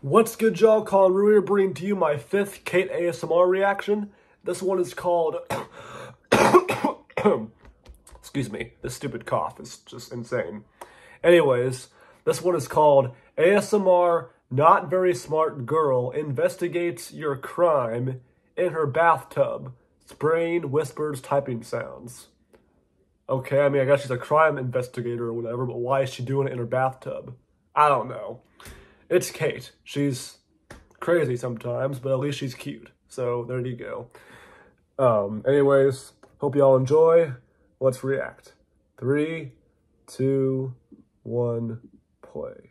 What's good y'all, Colin Ruier bringing to you my fifth Kate ASMR reaction. This one is called, excuse me, this stupid cough is just insane. Anyways, this one is called ASMR Not Very Smart Girl Investigates Your Crime in Her Bathtub, spraying Whispers Typing Sounds. Okay, I mean, I guess she's a crime investigator or whatever, but why is she doing it in her bathtub? I don't know. It's Kate. She's crazy sometimes, but at least she's cute. So there you go. Um, anyways, hope y'all enjoy. Let's react. Three, two, one, play.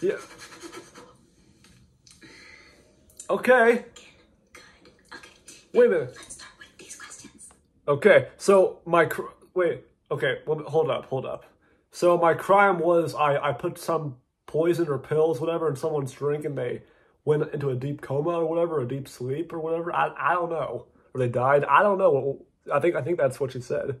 yeah. Okay. Okay. Wait a minute. Let's start with these questions. Okay. So my wait. Okay. hold up. Hold up. So my crime was I I put some poison or pills whatever in someone's drink and they went into a deep coma or whatever, a deep sleep or whatever. I I don't know. Or they died. I don't know. I think I think that's what you said.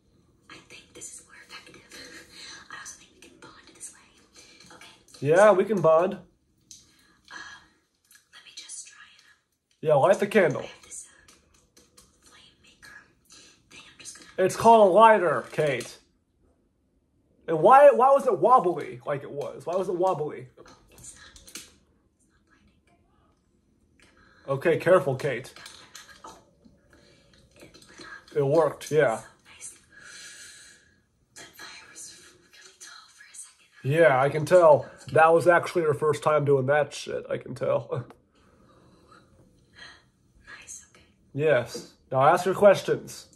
I think this is more effective. Yeah, we can bond. Um, um, yeah, light the candle. Uh, it's called a lighter, Kate. And why why was it wobbly like it was? Why was it wobbly? okay, careful, Kate. It, worked, yeah. Yeah, I can tell. That was actually her first time doing that shit, I can tell. nice, okay. Yes. Now ask her questions.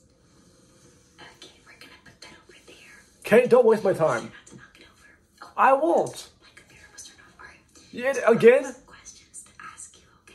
Okay, don't waste my time. I won't. My Yeah, again? Questions to ask you, okay?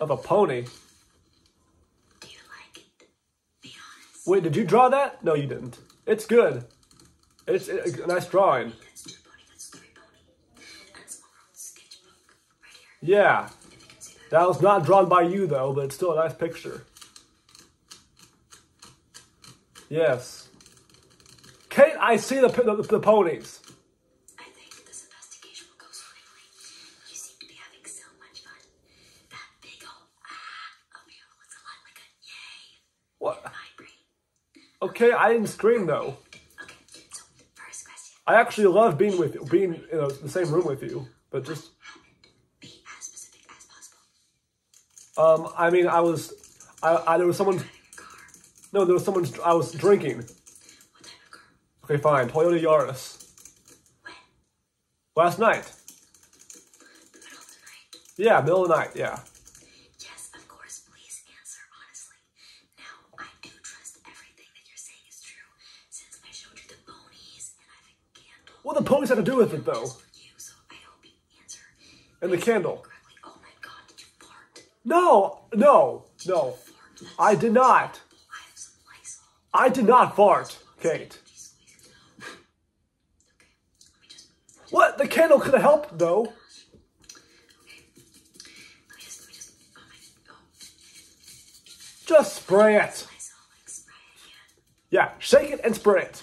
Of a pony. Wait, did you draw that? No, you didn't. It's good. It's, a nice drawing. Yeah. That was not drawn by you, though, but it's still a nice picture. Yes. Kate, I see the, the ponies. I think this investigation will go swimmingly. You seem to be having so much fun. That big old ah over here looks a lot like a yay. What? Okay, I didn't scream though. Okay, so first question. I actually love being with you, being in a, the same room with you, but just. Um, I mean, I was, I, I there was someone. No, there was someone. I was drinking. Okay, fine. Toyota Yaris. When? Last night. The middle of the night? Yeah, middle of the night, yeah. Yes, of course. Please answer honestly. Now, I do trust everything that you're saying is true, since I showed you the ponies and I have a candle. What the ponies had to do with it, though? And the candle. No, no, no. I did not. I did not fart, Kate. What? The candle could have helped, though. Oh, oh. Just spray it. Yeah, shake it and spray it.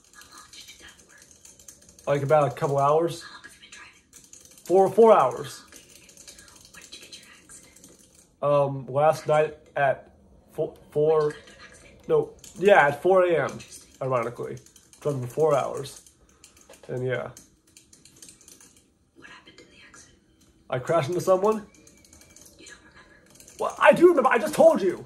Like about a couple hours. Four four hours. Um, last night at four, four no, yeah, at four a.m. Ironically, driving for four hours, and yeah. What happened in the accident? I crashed into someone. You don't remember. Well, I do remember. I just told you.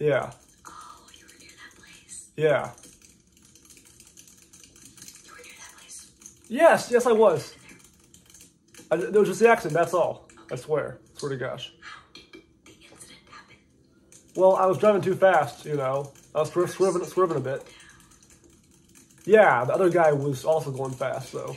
Yeah. Oh, yeah. You were near that place. Yes, yes, I was. I, it was just the accident, that's all. I swear. Swear to gosh. Well, I was driving too fast, you know. I was swerving, swerving, a bit. Yeah, the other guy was also going fast, So.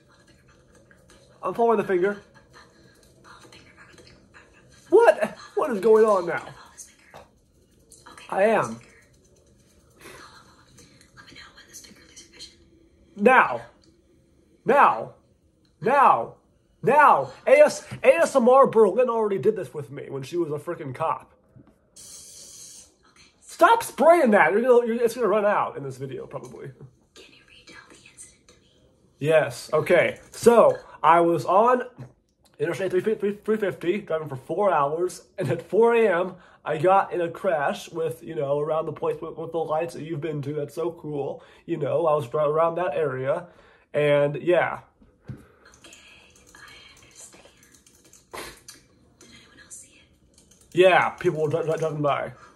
I'm following the finger. What? What is going on now? I am. Now. Now. Now. Now. AS ASMR Berlin already did this with me when she was a freaking cop. Stop spraying that. it's going to run out in this video, probably. Yes. Okay. So I was on Interstate 350 driving for four hours, and at 4 a.m. I got in a crash with you know around the place with, the lights that you've been to. That's so cool. You know, I was around that area, and yeah. Okay, I understand. yeah, people were driving by.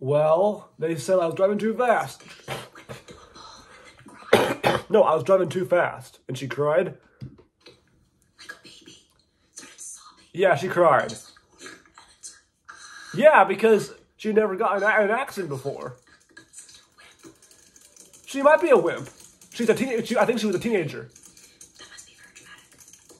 Well, they said I was driving too fast. no, I was driving too fast. And she cried. Yeah, she cried. yeah, because she never got an accident before. She might be a wimp. She's a teenager. I think she was a teenager.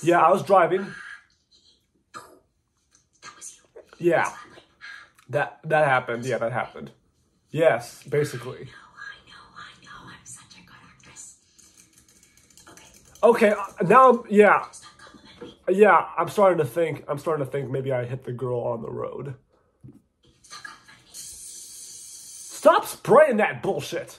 Yeah, I was driving. Yeah. That that happened. Yeah, that happened. Yes, basically. Okay, now yeah. Yeah, I'm starting to think I'm starting to think maybe I hit the girl on the road. Stop spraying that bullshit.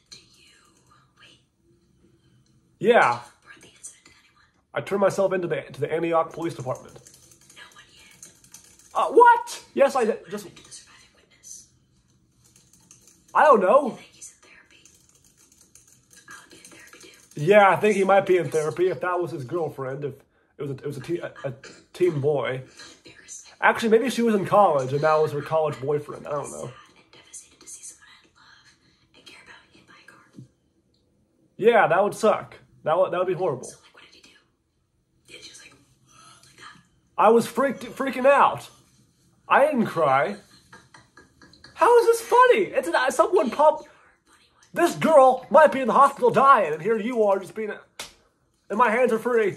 Yeah. I turned myself into the to the Antioch Police Department. Uh, what? Yes, I what just. Happened to the surviving witness? I don't know. Yeah, I think he might be in therapy. If that was his girlfriend, if it was a, it was a, a, a teen boy. Actually, maybe she was in college and that was her college boyfriend. I don't know. Yeah, that would suck. That would, that would be horrible. I was freaked, freaking out. I didn't cry. How is this funny? It's an, someone pop. This girl might be in the hospital dying, and here you are just being. it. And my hands are free.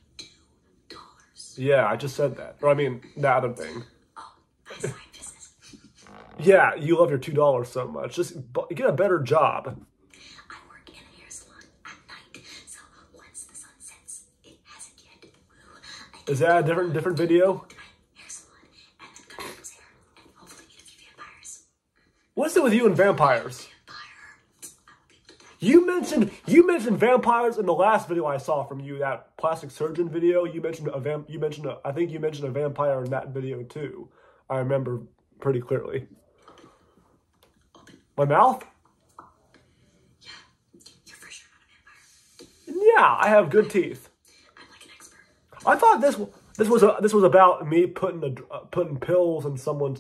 Yeah, I just said that. Or I mean, the other thing. Oh, yeah, you love your two dollars so much. Just get a better job. Is that a different different video? What's it with you and vampires? You mentioned you mentioned vampires in the last video I saw from you, that plastic surgeon video. You mentioned a vamp. You mentioned I think you mentioned a vampire in that video too. I remember pretty clearly. My mouth. Yeah, I have good teeth. i thought this this was a, this was about me putting a, putting pills in someone's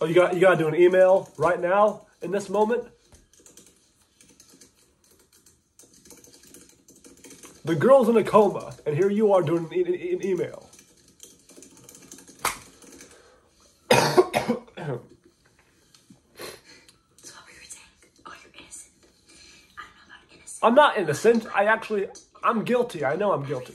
Oh, you got you gotta do an email right now in this moment. The girl's in a coma, and here you are doing an, an email. Oh, I'm not innocent. I actually, I'm guilty. I know I'm guilty.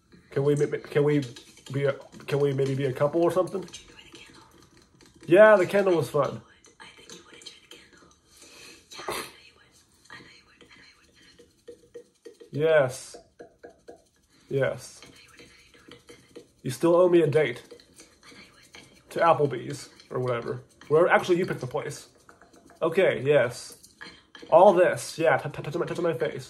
Can we can we be a, can we maybe be a couple or something? yeah, the candle was fun. Yes. Yes. You still owe me a date to Applebee's or whatever. Where actually you picked the place. Okay. Yes. All this. Yeah. Touch my face.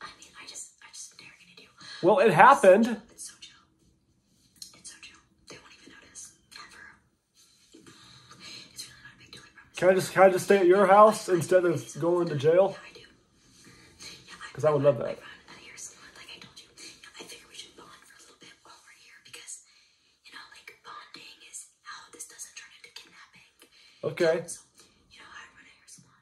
I mean, I just, I just never gonna do. Well, it happened. It's so chill. It's so chill. They won't even notice ever. It's really not a big deal. I can I just, can I just stay at your house instead of going to jail? Yeah, I do. Because I would love that. Okay. So, you know, I run a hair salon.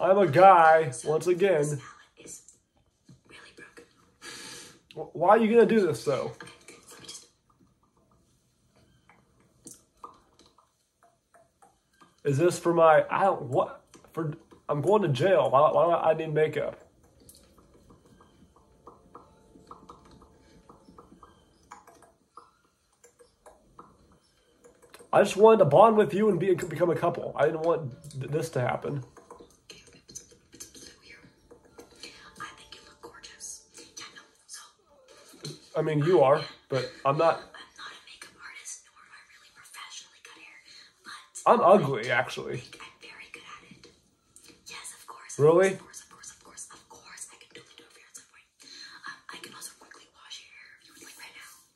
I'm a guy, once again. Why are you going to do this, though? Is this for my, I don't, what, for, I'm going to jail. Why, why do I need makeup? I just wanted to bond with you and be become a couple. I didn't want this to happen. I mean, you are, but I'm not. I'm not a makeup artist, nor am I really professionally cut hair, I'm ugly, actually. I'm very good at it. Yes, of course. Really? Of course, of course, of course, I can do a fair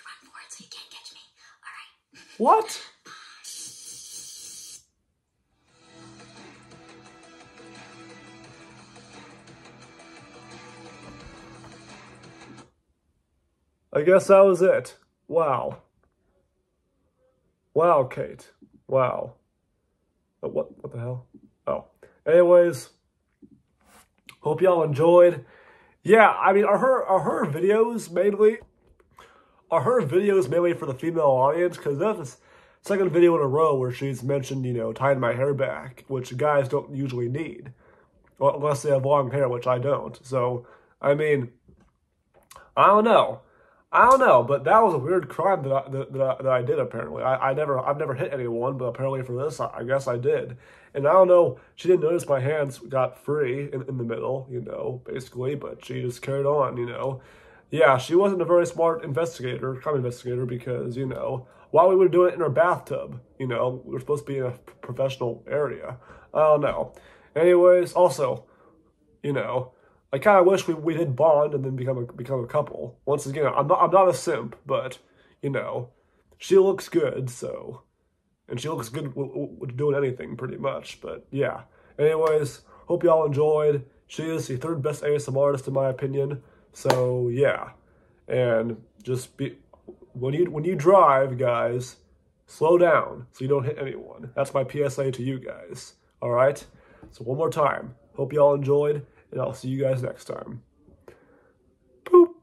Uh, All right. What? I guess that was it. Wow. Wow, Kate. Wow. But uh, what, what the hell? Oh. Anyways, Hope y'all enjoyed. Yeah, I mean, are her are her videos mainly are her videos mainly for the female audience? Because that's the second video in a row where she's mentioned, you know, tying my hair back, which guys don't usually need, unless they have long hair, which I don't. So, I mean, I don't know. I don't know, but that was a weird crime that I, that, that I, did. Apparently, I, I never I've never hit anyone, but apparently for this, I guess I did. And I don't know she didn't notice my hands got free in, in the middle, you know, basically, but she just carried on, you know. Yeah, she wasn't a very smart investigator, crime investigator, because, you know, why we were doing it in her bathtub, you know, we are supposed to be in a professional area. I don't know. Anyways, also, you know, I kind of wish we, we did bond and then become a become a couple. Once again, I'm not I'm not a simp, but you know, she looks good, so and she looks good doing anything pretty much. But yeah. Anyways, hope y'all enjoyed. She is the third best ASMR artist in my opinion. So yeah, and just be when you when you drive, guys, slow down so you don't hit anyone. That's my PSA to you guys. All right. So one more time. Hope y'all enjoyed, and I'll see you guys next time. Boop.